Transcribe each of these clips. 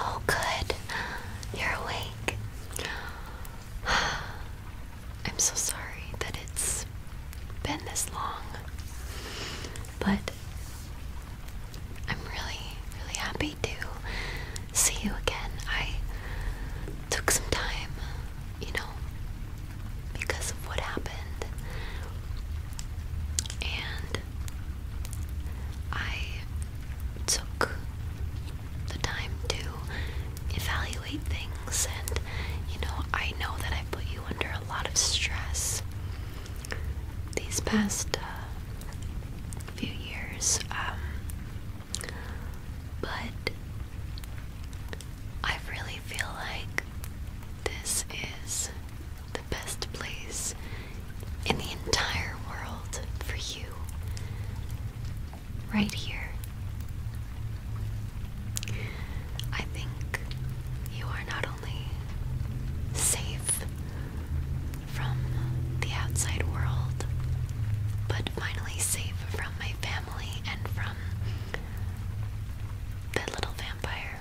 Oh, good. You're awake. I'm so sorry that it's been this long, but I'm really, really happy to see you again. I took some time, you know, because of what happened, and I took the time to evaluate things, and you know, I know that I put you under a lot of stress these past uh, few years. Um, but I really feel like this is the best place in the entire world for you. Right here. I think you are not totally safe from the outside world, but finally safe from my family and from the little vampire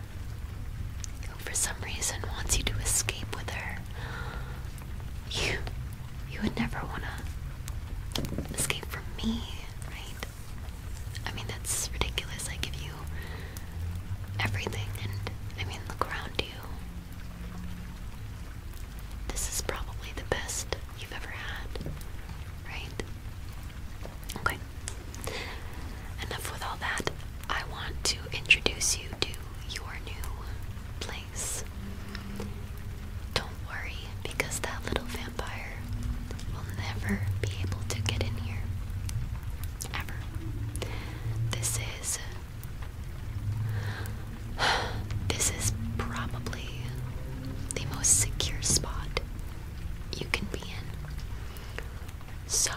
who, for some reason, wants you to escape with her. You, you would never want to escape from me, right? I mean, that's ridiculous. I give you everything, and I mean, look around you. This is probably the best you've ever had, right? Okay. Enough with all that. I want to introduce you to your new place. Don't worry, because that little vampire will never be able to get in here. Ever. This is this is probably the most secure spot you can be in. So,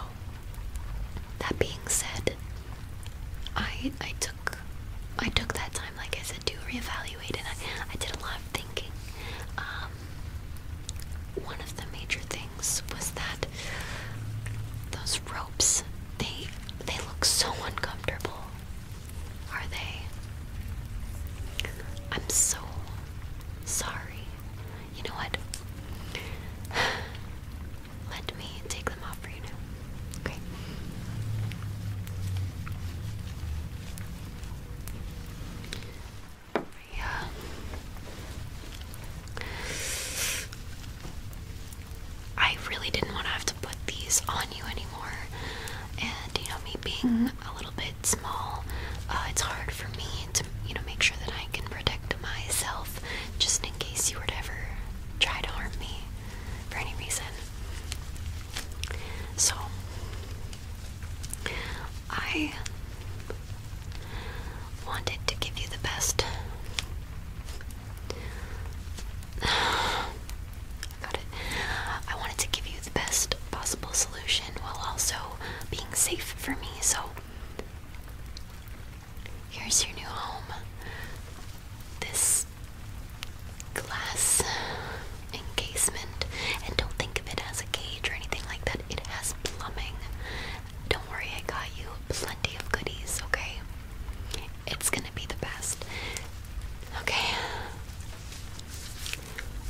that being said, I I took I took that time, like I said, to reevaluate, and I did a lot of thinking. Um, one of the major things was that those ropes they they look so uncomfortable. Are they? I'm so sorry. You know what? Let me take them off for you now. Okay. Yeah. I really didn't want to have to put these on you anymore. And you know, me being mm-hmm. a little bit small, uh, it's hard for me to, you know, make sure that I can protect myself just in case you were to ever try to harm me for any reason. So, I Wanted to give you the best. I got it. I wanted to give you the best possible solution while also being safe for me, so here's your new home. This glass encasement, and don't think of it as a cage or anything like that. It has plumbing. Don't worry, I got you plenty of goodies, okay? It's gonna be the best. Okay.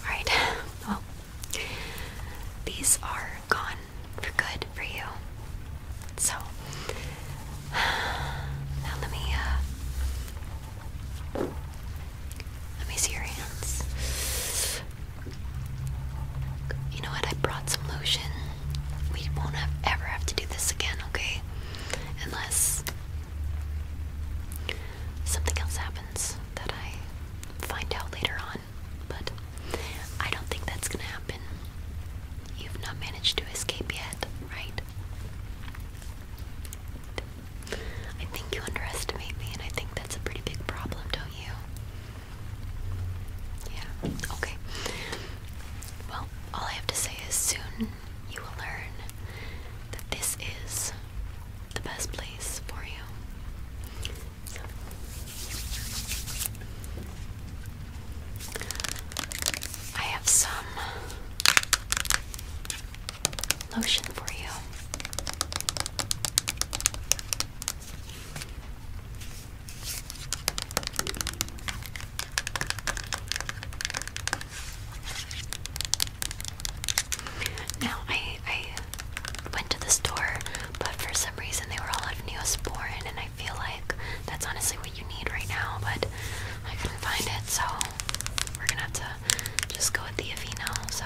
Alright, well, these are gone for good for you. So, now let me, uh, let me see your hands. You know what? I brought some lotion. We won't ever have to do this again, okay? Unless something else happens that I find out later on. But I don't think that's gonna happen. You've not managed to escape yet, right? I think you underestimate me, and I think that's a pretty big problem, don't you? Yeah, okay. Well, all I have to say is soon you will learn that this is the best place for you. I have some lotion for you. Now I I went to the store, but for some reason they were all out of Neosporin, and I feel like that's honestly what you need right now. But I couldn't find it, so we're gonna have to just go with the Aveeno. So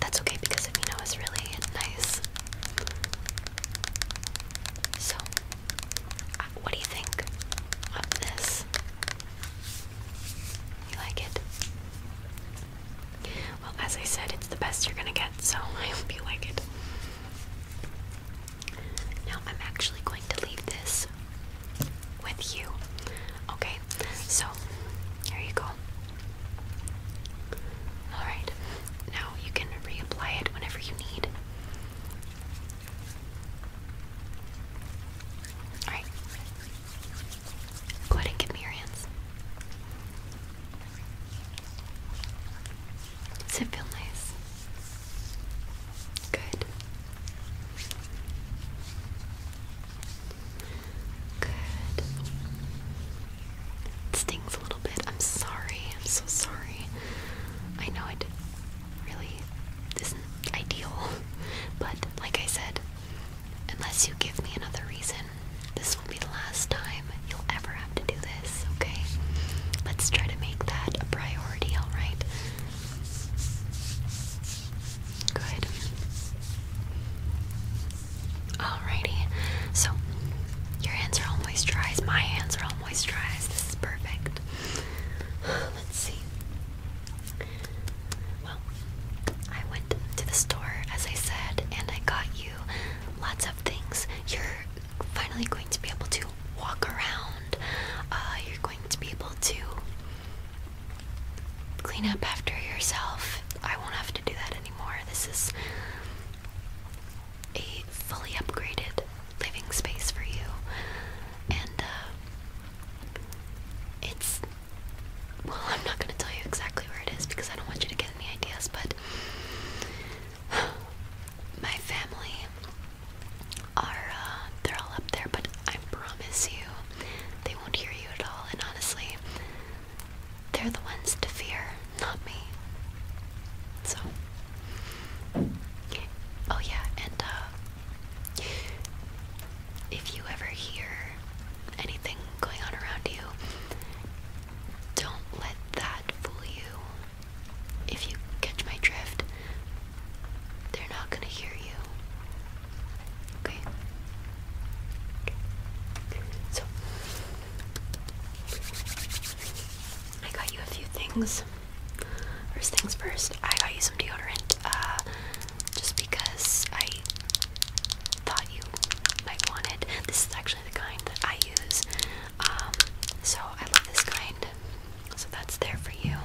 that's okay because Aveeno is really nice so, uh, what do you think of this? You like it? Well, as I said, it's the best you're gonna get, so I hope you like it. Now, I'm actually going to leave this with you. Okay, so here you go. Alright, now you can reapply it whenever you need. Alright, go ahead and give me your hands. Does it feel nice? Good. Good. It stings a little bit. I'm sorry. I'm so sorry. I know it really isn't ideal, but like I said, unless you give me another reason, this will be the last time you'll ever have to do this, okay? Let's try to make that a priority, alright? Good. Alrighty, so your hands are all moisturized. My hands are all moisturized. This is perfect. Let's see. Well, I went to the store, as I said, and I got you lots of things. You're finally going to be able to walk around. Uh, you're going to be able to clean up after yourself. I won't have to do that anymore. This is a fully upgraded living space for you, and uh, it's well, I'm not going to tell you exactly where it is because I don't want you to get any ideas, but my family are uh, they're all up there, but I promise you they won't hear you at all, and honestly. They're the ones to fear, not me. So. Oh, yeah, and, uh, If you ever hear anything going on around you, don't let that fool you. If you catch my drift, they're not gonna hear you. Okay? So, I got you a few things. First things first, I got you some deodorant, uh, just because I thought you might want it. This is actually the kind that I use, um, so I love this kind. So that's there for you.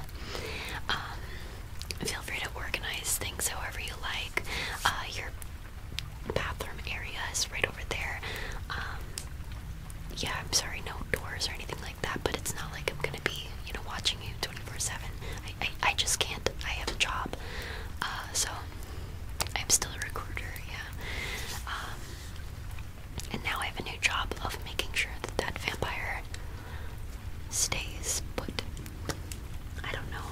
Um, feel free to organize things however you like. Uh, your bathroom area is right over there. Um, yeah, I'm sorry, no doors or anything like that, but it's not like I'm gonna be, you know, watching you 24-7. I, I, just can't. I have a job. Uh, so, I'm still a recruiter, yeah. Um, and now I have a new job of making sure that that vampire stays put. I don't know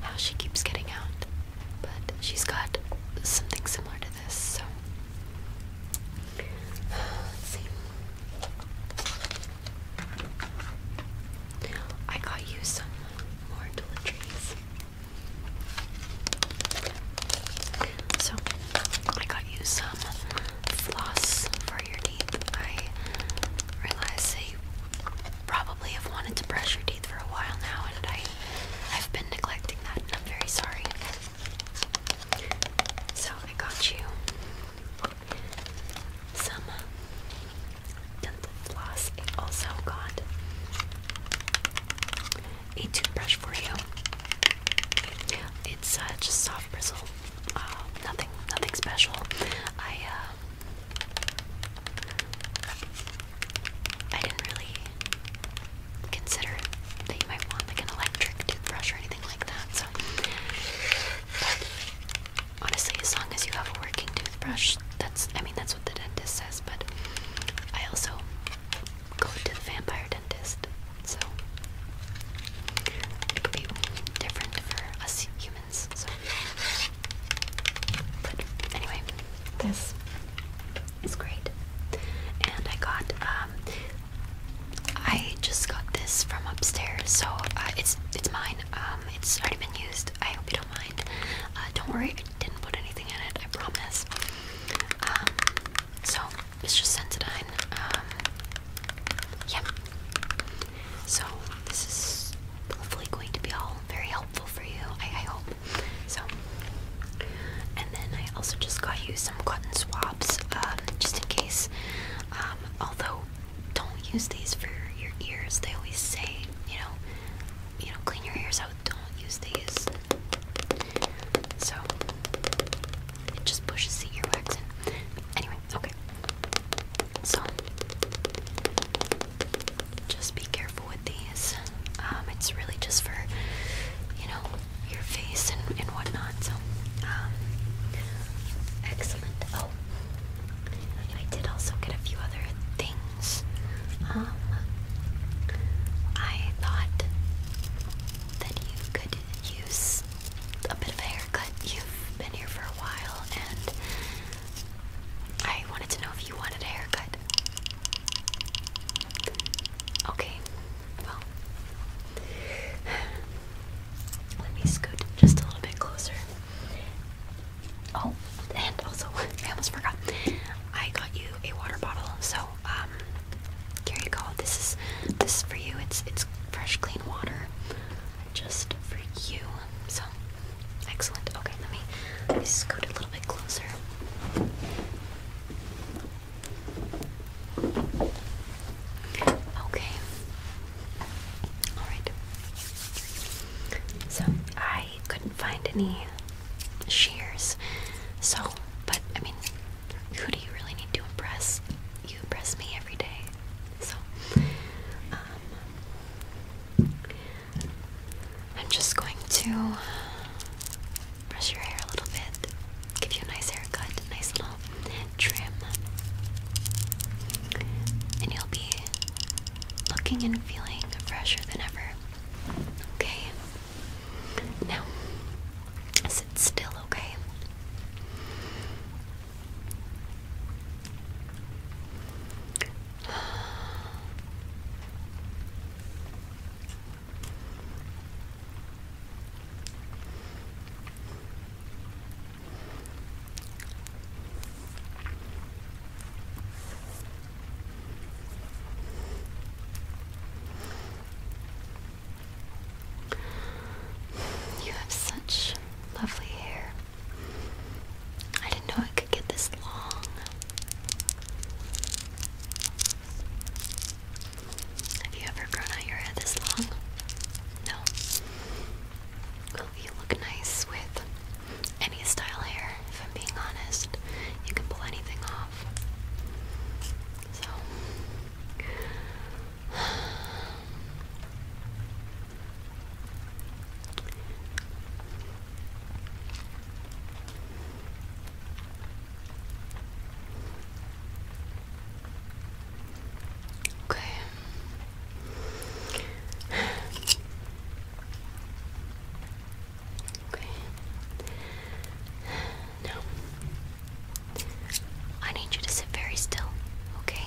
how she keeps getting out. But she's got something similar to this, so see. I got you some more toiletries. So I got you some floss for your teeth. I realized they probably have wanted to brush your teeth for a while now, and I, I've been neglecting that, and I'm very sorry. So I got you some uh, dental floss. also got a toothbrush for you. It's uh, just soft bristle. Uh, nothing, nothing special. I I didn't really consider that you might want like an electric toothbrush or anything like that. So honestly, as long as you have a working toothbrush, that's I mean that's what the dentist says, but I also go to the vampire dentist, so it could different for us humans anyway, this is great. And I got, um, I just got this from upstairs, so uh, it's it's mine. Um, it's already been used. I hope you don't mind. Uh, don't worry, I didn't put anything in it. I promise. Um, so it's just Sensodyne. yeah. So this is hopefully going to be all very helpful for you. I, hope so. And then I also just got you some cotton swabs, um, just in case. Um, although, don't use these for your ears. They always say, you know, you know, clean your ears out. Don't use these. So it just pushes the earwax in. Anyway, okay. So just be careful with these. Um, it's really just for, you know, your face and, whatnot. So, um, excellent. Oh, I did also get a few other things. Um, I thought that you could use a bit of a haircut. You've been here for a while, and I wanted to know if you wanted a haircut. Okay, well, let me scoot just a little bit closer. Oh, and also, I almost forgot. I got you a water bottle, so Gary, um, here This is this for you. It's it's fresh, clean water, just for you. So Excellent. Okay, let me, scoot a little bit closer. Okay. Alright. So, I couldn't find any shears. So, but I mean, who do you really need to impress? You impress me every day. So, um, I'm just going to brush your hair a little bit, give you a nice haircut, a nice little trim, and you'll be looking and feeling fresher than ever. Okay? Now, sit still, okay? You have such lovely hair. I didn't know I could get this long. Have you ever grown out your hair this long? No. Well, you look nice with any style hair, if I'm being honest. You can pull anything off. So. Okay. Okay. Now, I need you to sit very still, okay?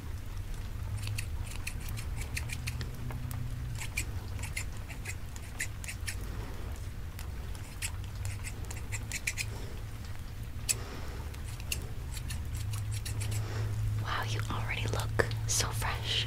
Wow, you already look so fresh.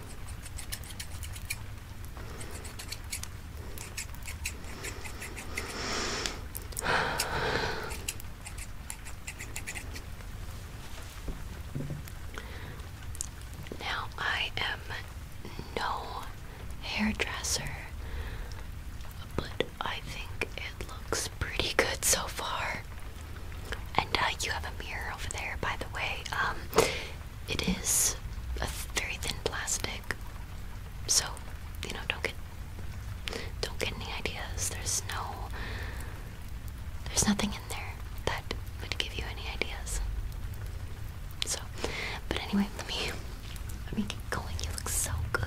Now I am no hairdresser, but I think it looks pretty good so far. And uh, you have a mirror over there, by the way. Um, it is a very thin plastic, so you know don't get don't get any ideas. There's no there's nothing in there that would give you any ideas. So, but anyway, let me let me get going. You look so good.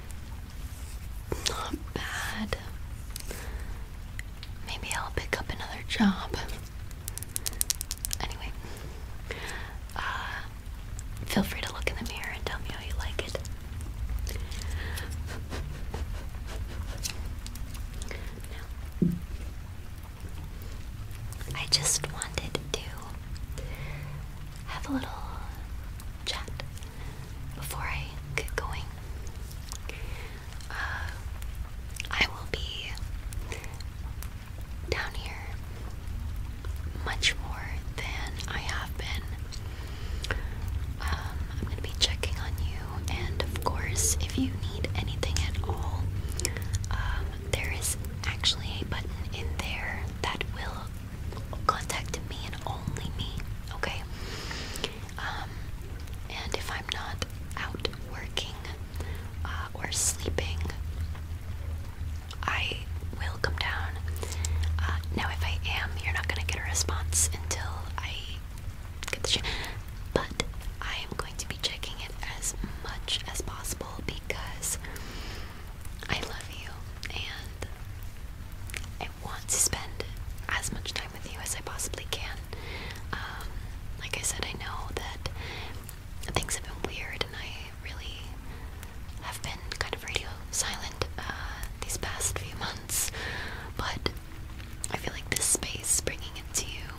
Not bad. Maybe I'll pick up another job. Anyway, uh, feel free to look in the mirror and tell me how you like it. Now, I just wanted to have a little chat before I get going, uh, I will be down here much more than I have been. Um, I'm going to be checking on you, and of course, if you need anything at all, um, there is actually a button in there that will contact me and only me, okay? Um, and if I'm not out working uh, or sleeping, I will come down. Uh, now, if I am, you're not gonna get a response until I get the shit. But I am going to be checking it as much as possible because I love you I want to spend as much time with you as I possibly can. Um, like I said, I know that things have been weird, and I really have been kind of radio silent uh, these past few months, but I feel like this space, bringing it to you,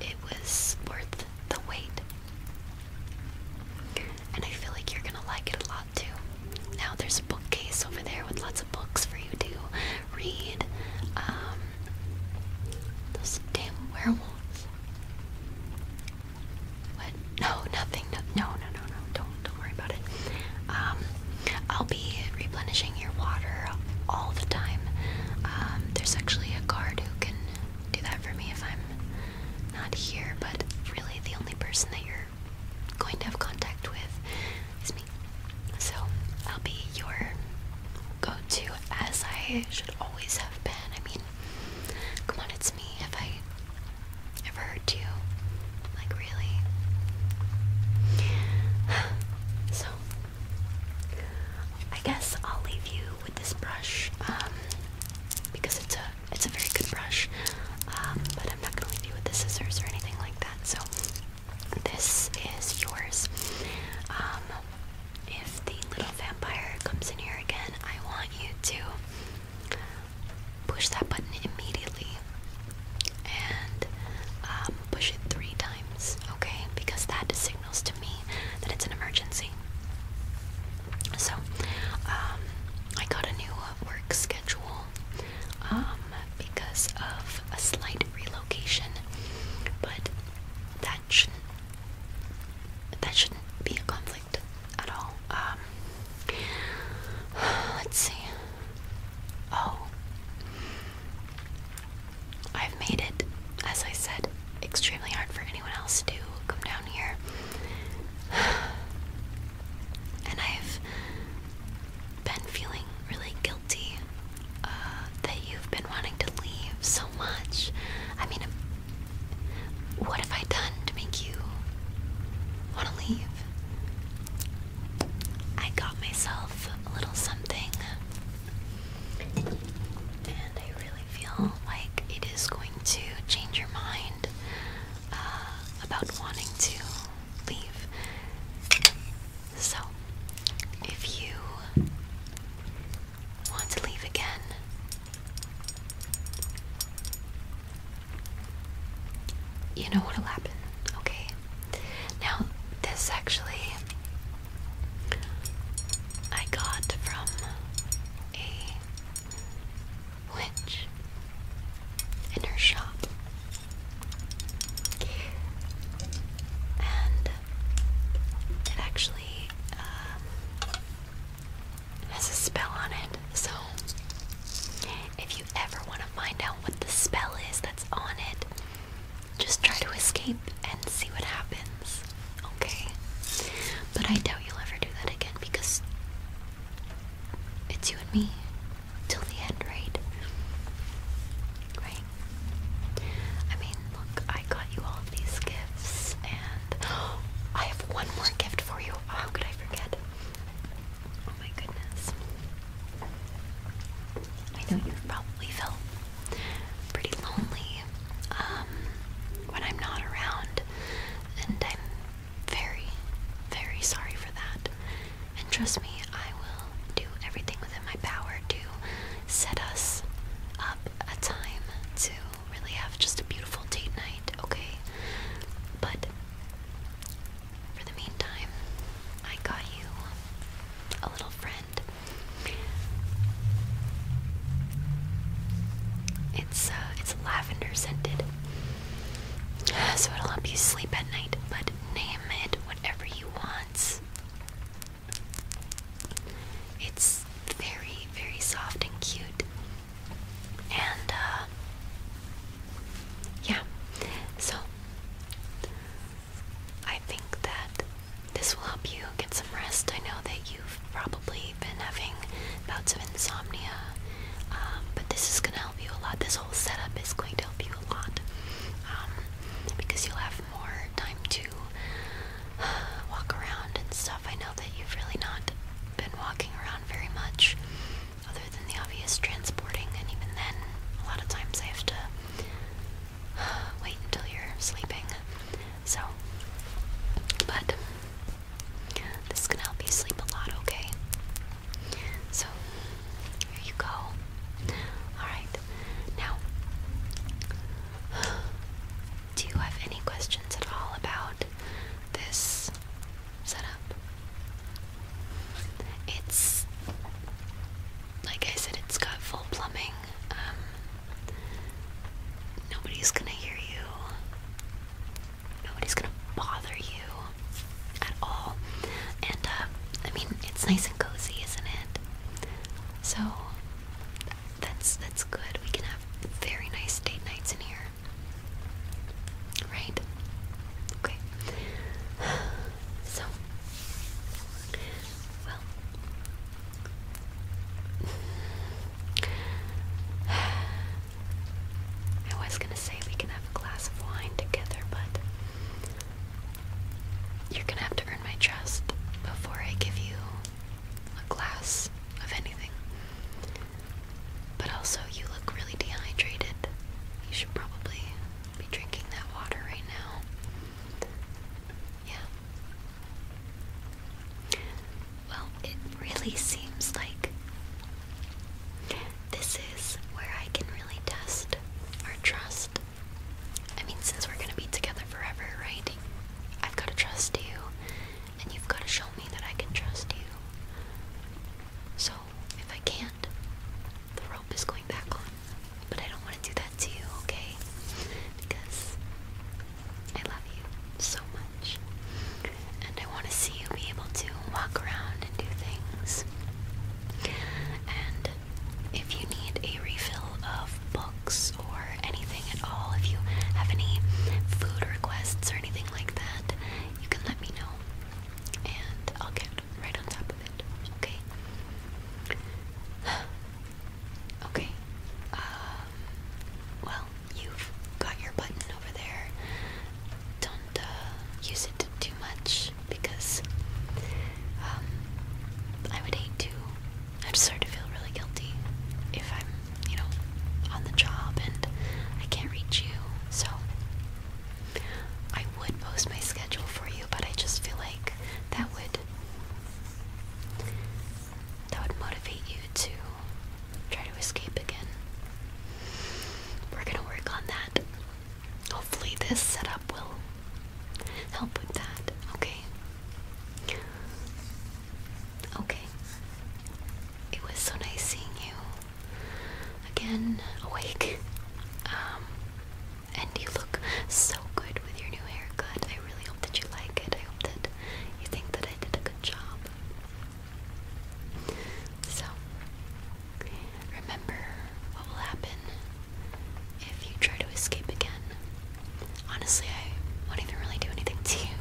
it was worth the wait. And I feel like you're gonna like it a lot. Now there's a bookcase over there with lots of books for you to read. Um, those damn werewolves. What? No, nothing. No, no, no, no. Don't, don't worry about it. Um, I'll be replenishing your water all the time. Um, there's actually a guard who can do that for me if I'm not here, but really the only person that you're you're going to have contact with is me. So I'll be your go to as I should always have been. I mean, come on, it's me. Have I ever hurt you? Like, really? So, I guess I'll leave you with this brush um, because it's a it's a very good brush, um, but I'm not going to leave you with the scissors or anything like that. So this is yours. Um, if the little vampire comes in here again, I want you to push that button immediately and um, push it three times, okay? Because that signals to me that it's an emergency. So, I got a new work schedule um, because of a slight relocation, but that shouldn't that shouldn't be a conflict at all. Um, let's see. Oh, I've made it, as I said, extremely hard for anyone else to come down here. And I've been feeling really guilty uh, that you've been wanting to leave so much. I mean, what have I done to make you want to leave? I got myself a little something, and I really feel like it is going to change your mind uh, about wanting to leave. So, if you want to leave again, you know what'll happen, okay? Now, this actually I got from a witch in her shop. And it actually um, has a spell on it. So if you ever want to find out what the spell is that's on it, just try to escape and see what happens. Okay? But I doubt you'll ever do that again because it's you and me till the end, right? Right? I mean, look, I got you all of these gifts, and I have one more gift for you. How could I forget? Oh my goodness. I know you've probably felt pretty lonely um, when I'm not around, and i very, very sorry for that. And trust me, I will do everything within my power to set us up a time to really have just a beautiful date night, okay? But for the meantime, I got you a little friend. It's uh, it's lavender scented. Uh, so it'll help you sleep at night, but name it whatever you want. It's very, very soft and cute. And, uh, yeah. So, I think that this will help you get some rest. I know that you've probably been having bouts of insomnia, um, but this is going to help you a lot. This whole setup is going to help you a lot um, because you'll have more time to walk around and stuff. I know that you've really not been walking around very much, other than the obvious transporting, and even then, a lot of times I have to wait until you're sleeping. So, but this is gonna help you sleep a lot, okay? So, here you go. Alright, now, do you have any questions at all about this setup? It's, like I said, it's got full plumbing. Um, nobody's gonna hear you. Nobody's gonna bother you at all. And uh, I mean, it's nice and cozy, isn't it? So that's that's good. We can have very nice date nights in here, right? Okay. So, well, I was gonna say we can have a glass of wine together, but you're gonna have to earn my trust before I give you a glass of anything. But also, you look really dehydrated. You should probably be drinking that water right now. Yeah. Well, it really seems like this is where I can really test our trust. I mean, since we're gonna be together forever, right? I've gotta trust you, and you've gotta show me that I can trust you. So, if I can't, the rope is going back on. But I don't wanna do that to you, okay? Because I love you so much and I want to see you be able to walk around and do things. And if you need a refill of books or anything at all, if you have any food requests or anything like that, you can let me know and I'll get right on top of it, okay? okay, um, well, you've got your button over there. Don't uh, use it too much because um, I would hate to. I'd start to feel really guilty if I'm, you know, on the job and I can't reach you. So I would post my schedule for you, but I just feel like that would that would motivate you to Try to escape again. We're gonna work on that. Hopefully, this setup will help with that. Okay. Okay. It was so nice seeing you again, awake. Um, and you look so good with your new haircut. I really hope that you like it. I hope that you think that I did a good job. So, remember what will happen if you try to escape again. Honestly, I won't even really do anything to you.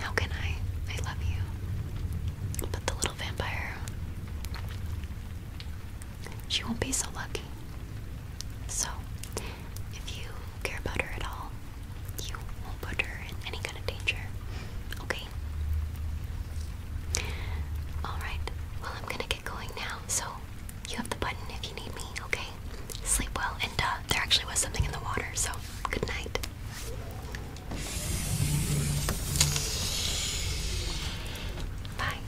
How can I? I love you. But the little vampire, she won't be so lucky. So, if you care about her at all, you won't put her in any kind of danger. Okay? Alright, well, I'm gonna get going now, so you have the button if you need me, okay? Sleep well, and uh, there actually was something in the water, so good night. Bye.